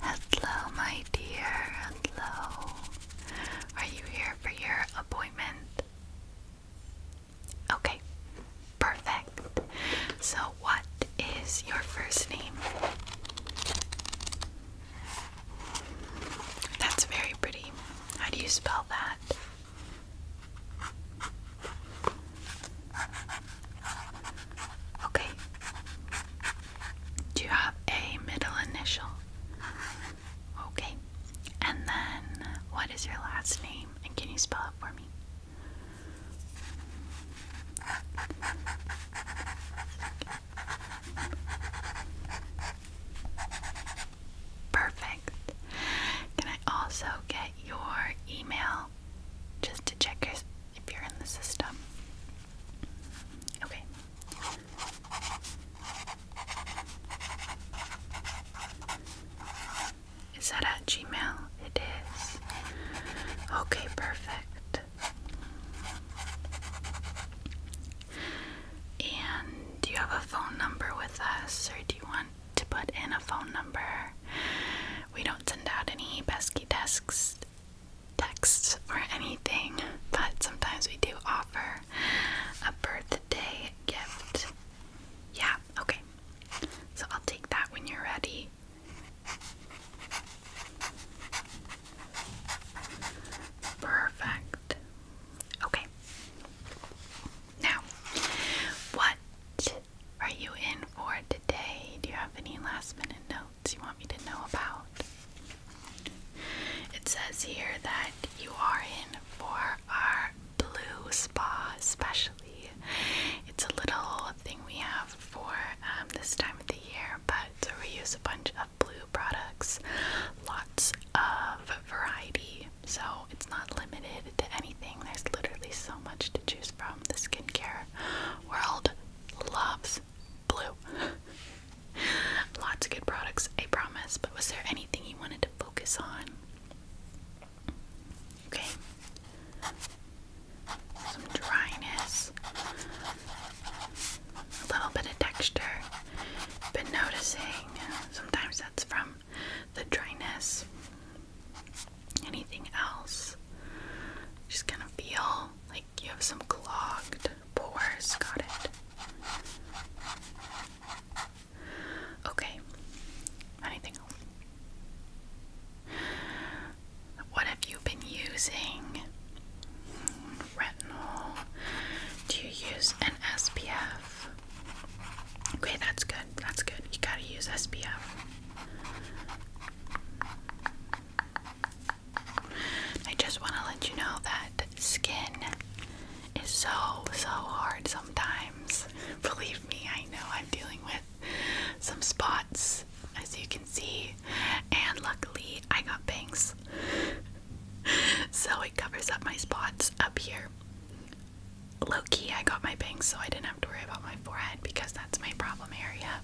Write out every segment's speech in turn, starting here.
Hello, my dear. Hello. Are you here for your appointment? Okay, perfect. So, what is your first name? That's very pretty. How do you spell that? Okay. Do you have a middle initial? Okay. And then what is your last name? And can you spell it for me? Perfect. Can I also get your email just to check if you're in the system? Okay. Is that at Gmail? It is. Okay, perfect. And do you have a phone number with us, or do you want to put in a phone number? We don't send out any pesky desks, texts, or anything, but sometimes we do offer a birthday gift. Yeah, okay. So I'll take that when you're ready. Perfect. Okay. Now, what are you in for today? Do you have any last minute notes you want me to know about? It says here that you are in for our blue spa, especially. It's a little thing we have for um, this time of the year, but we use a bunch of blue products, lots of variety. So it's not limited to anything. There's literally so much to choose from. The skincare world loves blue. Lots of good products, I promise. But was there anything you wanted to focus on? Okay. Some dryness. A little bit of texture. Been noticing sometimes that's from the dryness. Anything else? Just gonna feel like you have some clogged pores. Got it. Okay. Anything else? What have you been using? Retinol. Do you use an SPF? Okay, that's good. That's good. You gotta use SPF. I just want to let you know that skin is so, so hard sometimes. Believe me, I know I'm dealing with some spots, as you can see, and luckily I got bangs. so it covers up my spots up here. Low key, I got my bangs so I didn't have to worry about my forehead because that's my problem area.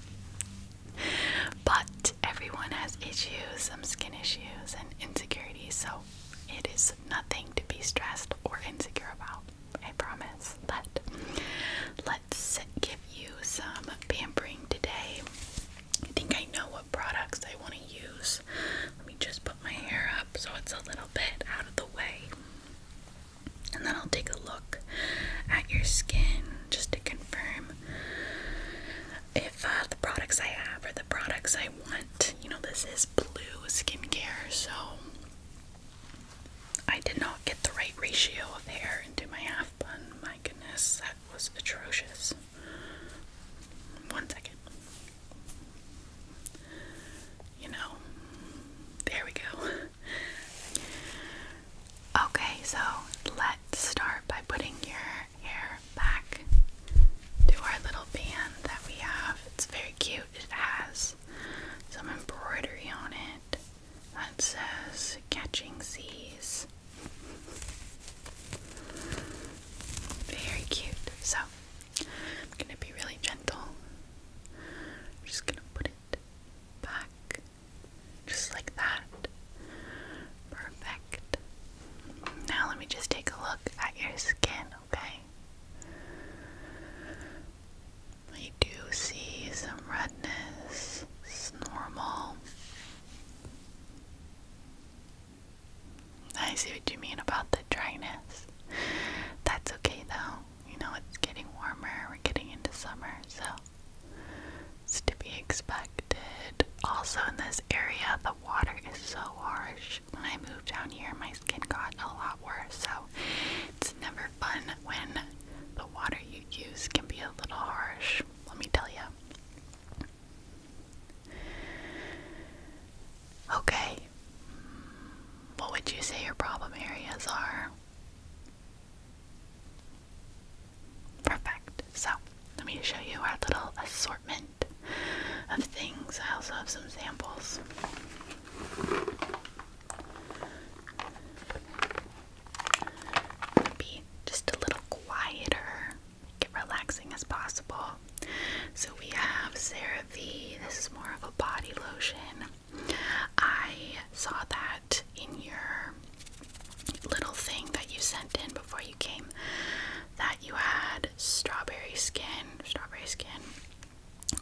But everyone has issues, some skin issues, and insecurities, so it is nothing to be stressed or insecure about. I promise. But let's give you some pampering today. I think I know what products I want to use. Let me just my hair up so it's a little bit out of the way. And then I'll take a look at your skin just to confirm if uh, the products I have are the products I want. You know, this is blue skincare, so I did not get the right ratio of hair into my half bun. My goodness, that was atrocious. One second. You know, there we go. Okay, so let's start by putting your hair back to our little band that we have. It's very cute. It has some embroidery on it that says Catching Seas. Very cute. So I'm gonna be really gentle. I'm just gonna put it back just like that. Perfect. Now let me just take a look at your skin, okay? I do see some redness. It's normal. I see what you mean about the dryness. That's okay though. You know, it's getting warmer. We're getting into summer, so it's to be expected. Also, in this area, the water is so harsh. When I moved down here, my skin got a lot worse, so it's never fun when the water you use can be a little harsh. Let me tell you. Okay. What would you say your problem areas are? Perfect. So, let me show you our little assortment of things. I also have some samples. Be just a little quieter make relaxing as possible. So we have CeraVe. This is more of a body lotion. I saw that in your little thing that you sent in before you came that you had strawberry skin, strawberry skin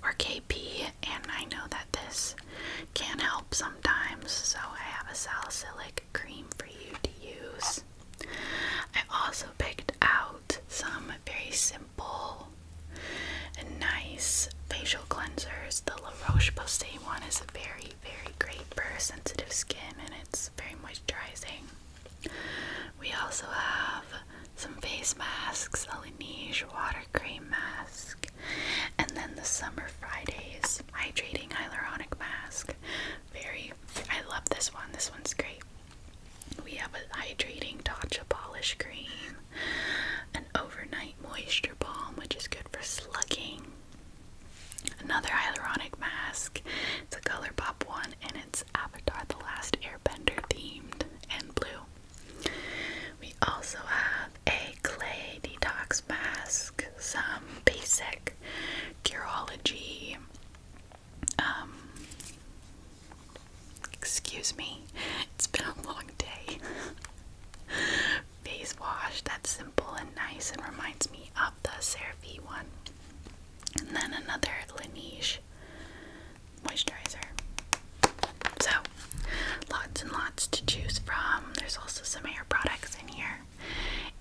or KP and I know that this can help sometimes so I have a salicylic cream for you to use I also picked out some very simple and nice facial cleansers. The La Roche Posay one is very, very great for sensitive skin and it's very moisturizing. We also have some face masks, a Laneige water cream mask, and then the Summer Fridays hydrating hyaluronic mask. Very, I love this one. This one's great. We have a hydrating Tatcha polish cream, an overnight moisture balm, which is good for slugging, another hyaluronic mask. It's a Color Pop one, and it's Avatar: The Last Airbender themed and blue. We also have a clay detox mask, some basic Curology um, excuse me, it's been a long day. Face wash that's simple and nice and reminds me of the CeraVe one. And then another Laneige moisturizer. So, lots and lots to choose from. There's also some hair products in here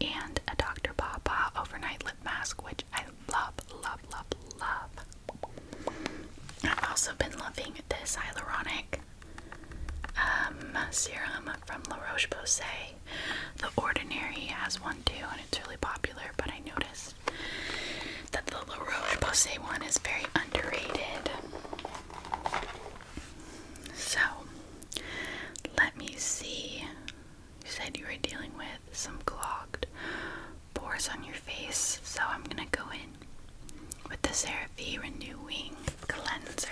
and a Dr. Pawpaw overnight lip mask, which I love, love, love, love. I've also been loving this hyaluronic um, serum from La Roche Posay. The Ordinary has one too, and it's really popular, but I noticed that the La Roche Posay one is very underrated. So, let me see. You said you were dealing with some clogged pores on your face, so I'm gonna go in with the CeraVe Renewing Cleanser.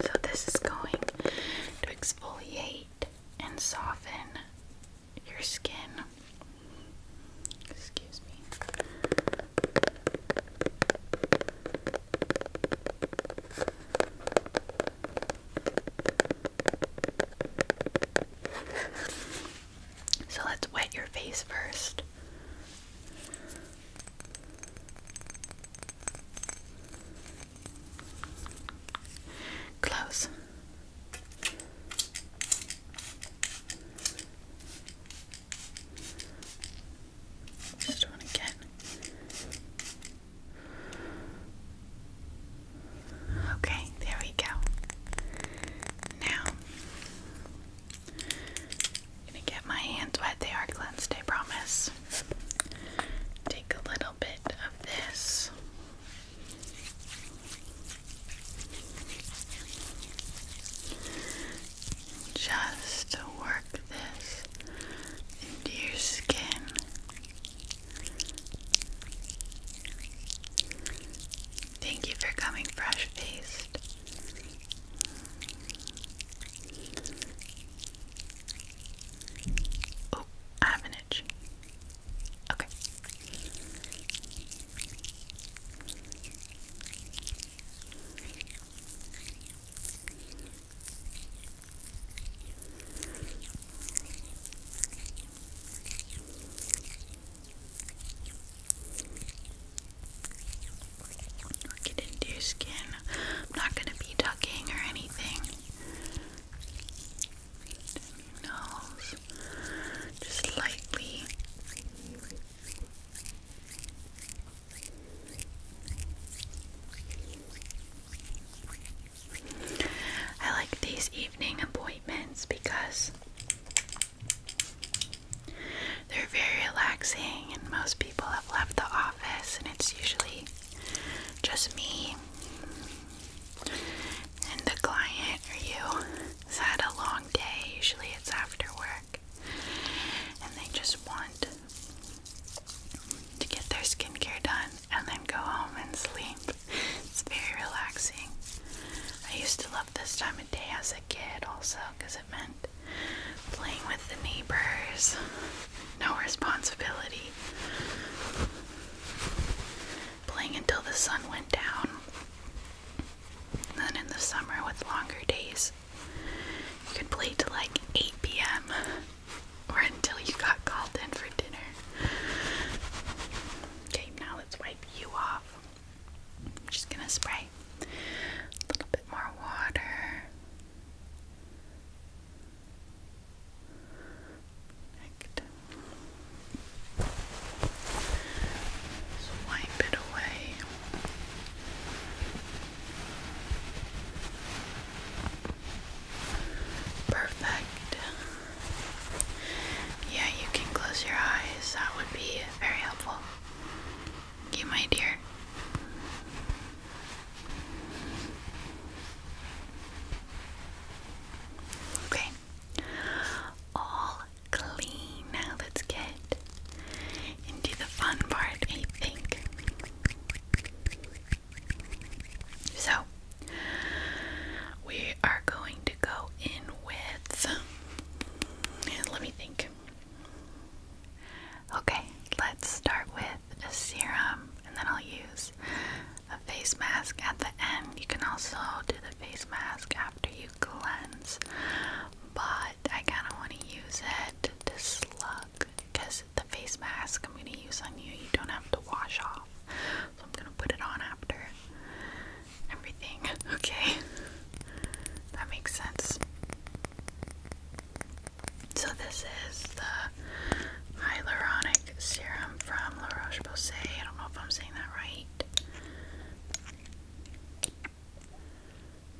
So, this is going to exfoliate and soften your skin. Excuse me. So let's wet your face first. Close. Just one again. Okay, there we go. Now, I'm gonna get my hands wet. They are cleansed, I promise. Take a little bit of this just to work this into your skin. Thank you for coming fresh faced. Oh, I have an itch. Okay. Work into your skin. I'm not going to be tucking or anything. Nose. Just lightly I like these evening appointments because they're very relaxing, and most people have left the office, and it's usually just me and the client or you. Has had a long day, usually it's after work and they just want to get their skincare done and then go home and sleep. It's very relaxing. I used to love this time of day as a kid also because it meant playing with the neighbors, no responsibility. Playing until the sun went down. then in the summer with longer days, you could play till like 8 p.m. or until you got called in for dinner. Okay, now let's wipe you off. I'm just gonna spray a little bit more water. Perfect. Swipe it away. Perfect. Yeah, you can close your eyes. That would be very helpful. You, my dear. Okay. All clean. Now let's get into the fun part, I think. So, we are going to go in with. Let me think. Okay, let's start with a serum and then I'll use a face mask at the end. You can also do the face mask after you cleanse, but I kind of want to use it to slug because the face mask I'm going to use on you, you don't have to wash off. So I'm going to put it on after everything. Okay. that makes sense. So this is the hyaluronic serum from La Roche-Posay. I don't know if I'm saying that right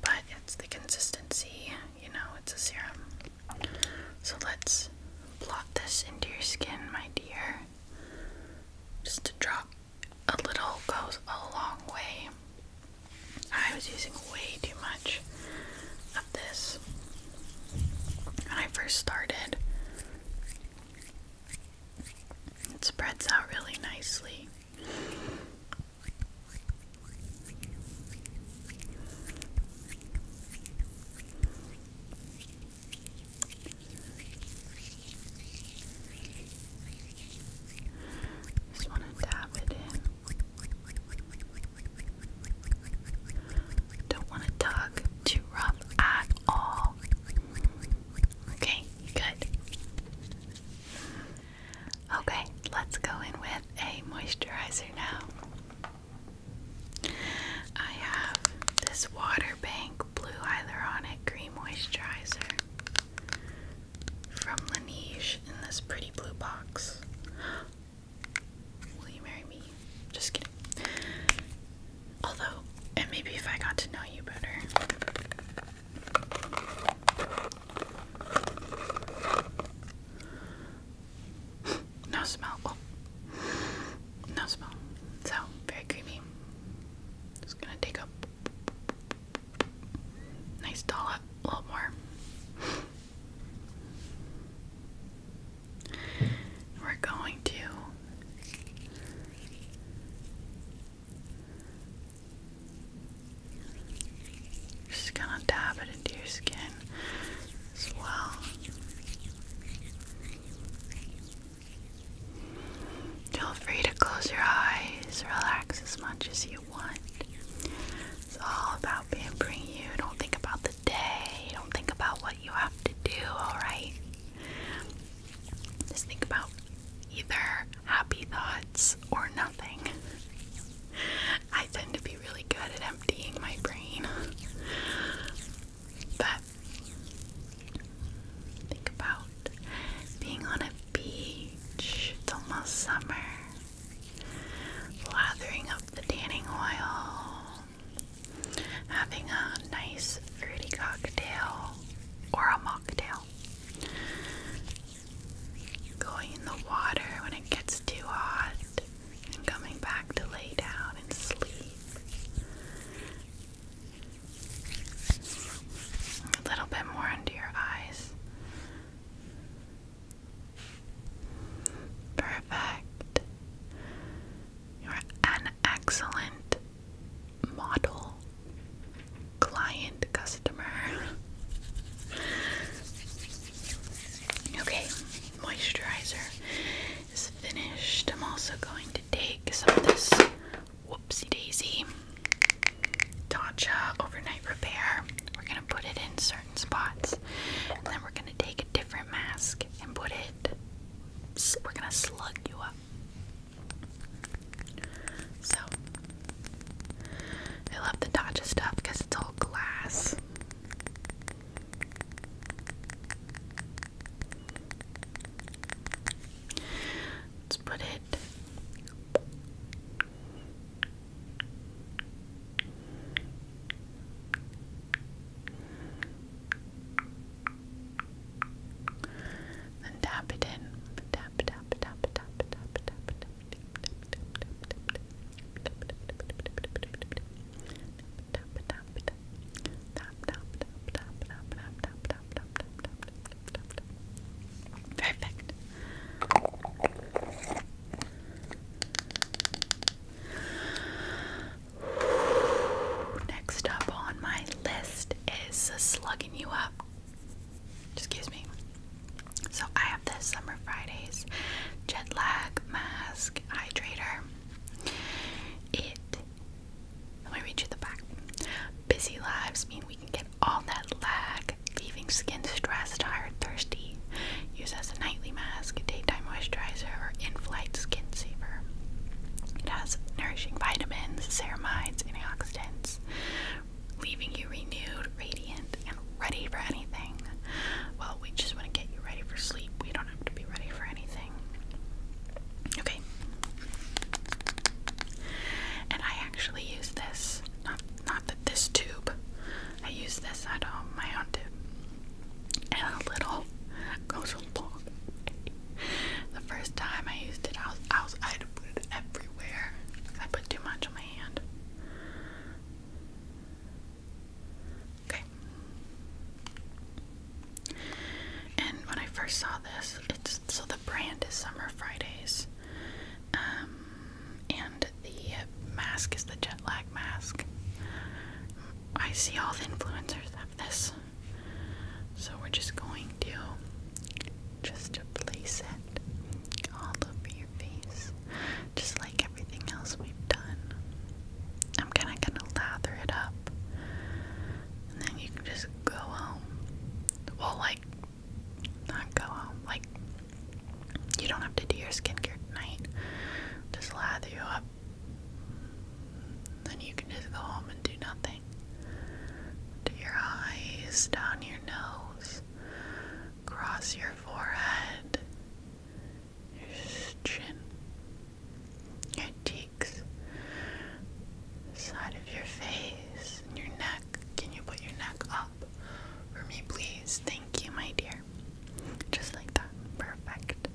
but it's the consistency, you know, it's a serum. So let's blot this into your skin, my dear. Just a drop, a little goes a long way. I was using way too much of this when I first started. It spreads out really nicely. Just want to dab it in. Don't want to tug too rough at all. Okay, good. Okay, let's go in with a moisturizer now. I have this Waterbank Blue Hyaluronic Cream Moisturizer from Laneige in this pretty blue box. Will you marry me? Just kidding. Although, and maybe if I got to know you better, no smell. Oh. No smell. So, very creamy. Just gonna take a nice dollop, a little more. We're going to just gonna dab it into your skin as well. Feel free to close your eyes, relax as much as you want. It's all about pampering you. Don't think about the day, don't think about what you have to do, alright? Just think about either happy thoughts or nothing. I tend to be really good at emptying my brain. But think about being on a beach. It's almost summer. Lathering up the tanning oil. Having a nice fruity cocktail or a mocktail going in the water when it gets too hot and coming back to lay down and sleep. A little bit more under your eyes. Perfect. You're an excellent model client customer. okay, moisturizer is finished. I'm also going to take some of this whoopsie daisy Tatcha overnight repair. We're gonna put it in certain spots and then we're gonna take a different mask and put it we're gonna slug you up. So I love the Tatcha stuff because it's all glass. Let's put it then tap it in. Tap, tap, tap, tap, tap, tap, tap, tap, Perfect. Next up on my list is slugging you up. Excuse me. So I have this Summer Fridays Jet Lag Mask Hydrator. It let me read you the back. Busy lives mean we can get all that lag, leaving skin stressed, tired, thirsty. Use as a nightly mask, daytime moisturizer, or in-flight skin saver. It has nourishing vitamins, ceramides, antioxidants leaving you renewed, radiant, and ready for anything. Well, we just want to get you ready for sleep. We don't have to be ready for anything. Okay. And I actually use this, not not that this tube. I use this at home, um, my own tube. And a little goes a long the first time I used it, I was, I had to put it everywhere I put too much on my hand. Okay. And when I first saw this, it's so the brand is Summer Fridays, um, and the mask is the jet lag mask. I see all the influencers have this. So we're just going to just to place it all over your face, just like everything else we've done. I'm kind of gonna lather it up, and then you can just go home. Well, like not go home, like you don't have to do your skincare tonight. Just lather you up, then you can just go home and do nothing to your eyes, down your nose, across your forehead, your chin, your cheeks, the side of your face, and your neck. Can you put your neck up for me, please? Thank you, my dear. Just like that. Perfect.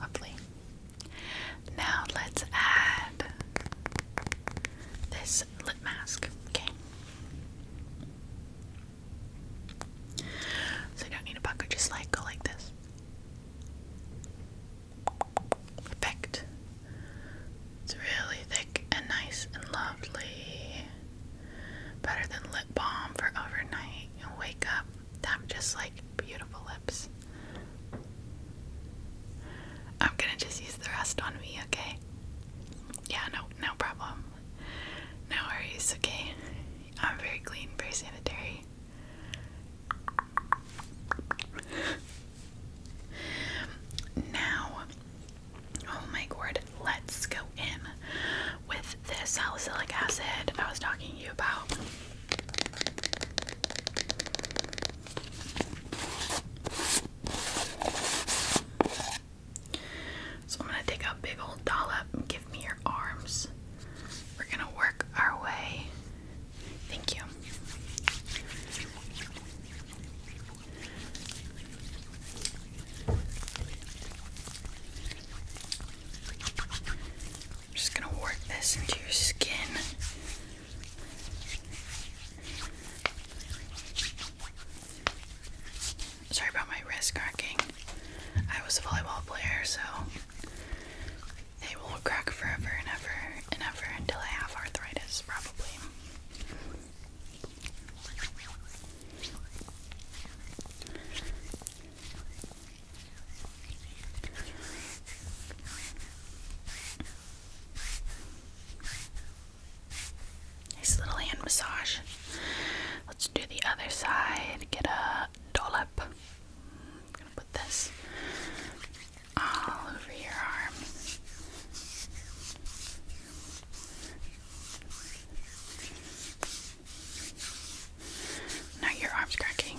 Lovely. Now let's add this lip mask. Okay. So you don't need a bucket, just like go like this. Perfect. It's really thick and nice and lovely. Better than lip balm for overnight. you wake up i just like beautiful lips. I'm gonna just use the rest on me, okay? Yeah, no, no problem. No worries, okay? I'm very clean, very sanitary. now, oh my god, let's go in with this salicylic acid I was talking to you about. So I'm gonna take a big old dollop and give me your arms. We're gonna work our way. Thank you just going to work this into your skin. Sorry about my wrist cracking. I was a volleyball player, so they will crack forever and ever and ever until I have arthritis, probably. Nice little hand massage. Let's do the other side. Get a dollop. I'm gonna put this all over your arm. Now your arm's cracking.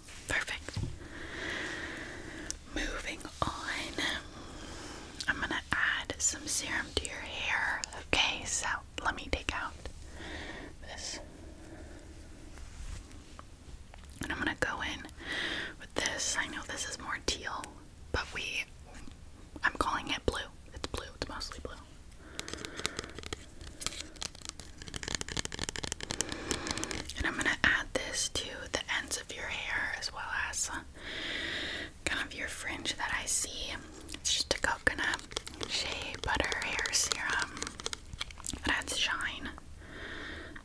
Perfect. Moving on, I'm gonna add some serum to your hair. Okay, so let me take out this. And I'm gonna go in with this. I know this is more teal, but we, I'm calling it blue. It's blue, it's mostly blue. And I'm gonna add this to the ends of your hair as well as uh, kind of your fringe that I see. It's just a coconut shea butter hair serum that adds shine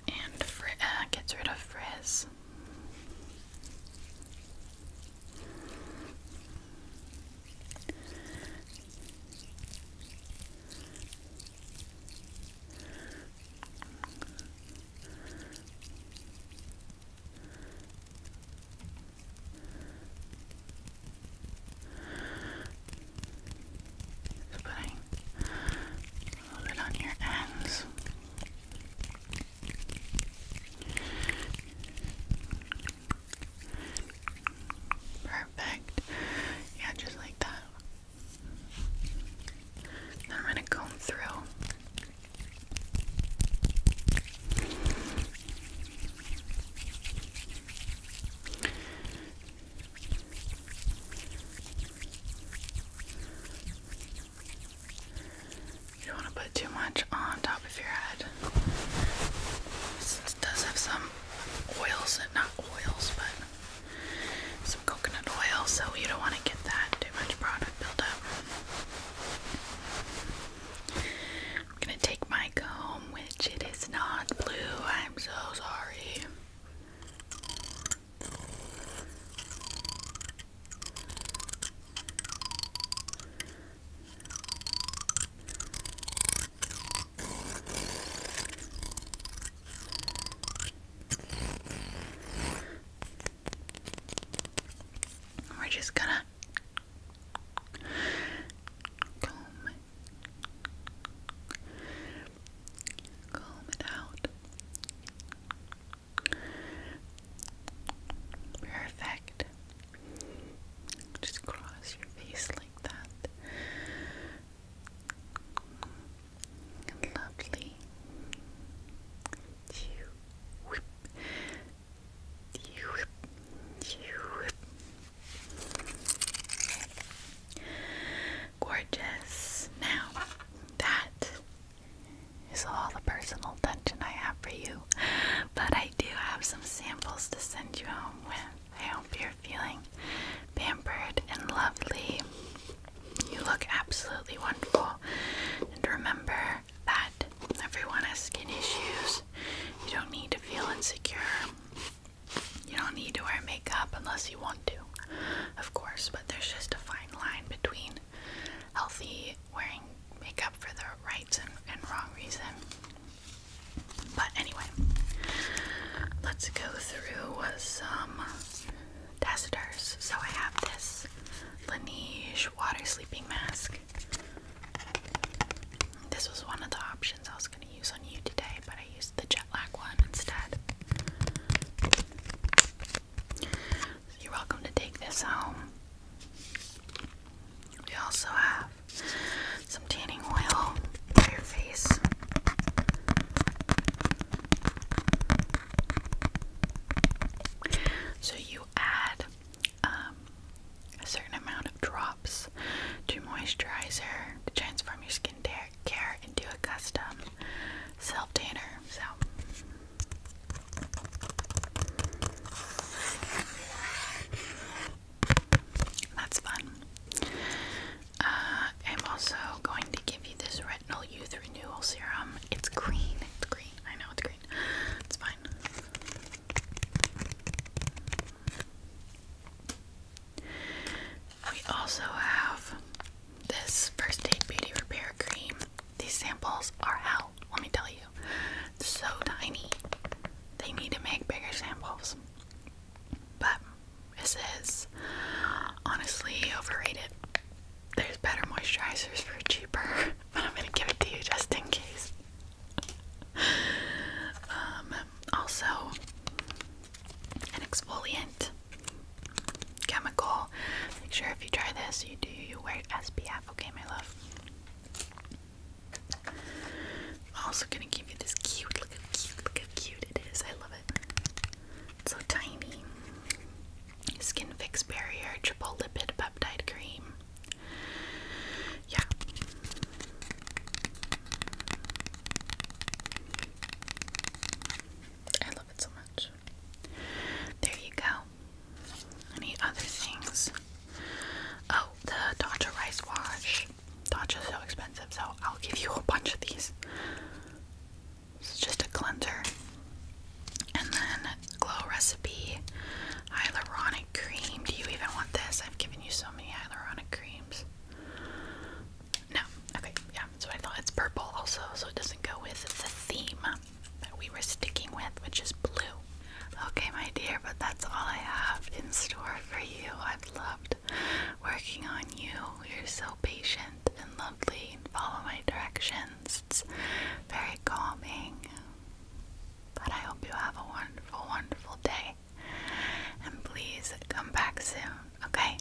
and uh, gets rid of frizz. Just putting a little bit on your ends. Perfect. Yeah, just like that. I'm going to comb through. You don't want to put too much on top of your head. This does have some oils, not oils, but some coconut oil, so you don't want to get that too much product buildup. I'm gonna take my comb, which it is not blue. I'm so sorry. We're just gonna comb it out. Perfect. Just cross your face like that. Lovely. Gorgeous. Now, that is all the personal attention I have for you, but I do have some samples to send you home with. I hope you're feeling pampered and lovely. You look absolutely wonderful. And remember that everyone has skin issues. You don't need to feel insecure. You don't need to wear makeup unless you want to, of course, but there's just a fine line between healthy wearing makeup for the right and, wrong reason. But anyway, let's go through some testers. So I have this Laneige water sleeping mask. This was one of the options I was going to use on you today, but I used the jet lag one instead. you're welcome to take this home. We also have some tanning oil your face. So you add um, a certain amount of drops to moisturizer to transform your skin care into a custom self tanner. So. That's fun. Uh, I'm also going to give you this Retinal Youth Renewal Serum. It's green. It's green. I know it's green. It's fine. We also have this First Aid Beauty Repair Cream. These samples are hell, let me tell you. So tiny. They need to make bigger samples. But this is honestly overrated. There's better moisturizers for cheaper, but I'm gonna give it to you just in case. um, also, an exfoliant chemical. Make sure if you try this, you do you wear SPF, okay, my love. also gonna give you this cute, look how cute, look how cute it is. I love it so tiny. Skin Fix Barrier Triple Lipid Peptide Cream. Yeah. I love it so much. There you go. Any other things? Oh, the Dr. Rice Wash bunch. is so expensive, so I'll give you a bunch of these. This is just a cleanser. And then Glow Recipe Hyaluronic Cream. Do you even want this? I've given you so many hyaluronic creams. No. Okay, yeah, that's I thought. It's purple also, so it doesn't go with the theme that we were sticking with, which is blue. Okay, my dear, but that's all I have in store for you. I've loved working on you. You're so patient and lovely and follow my directions. It's very calming. But I hope you have a wonderful, wonderful day. And please come back soon, okay?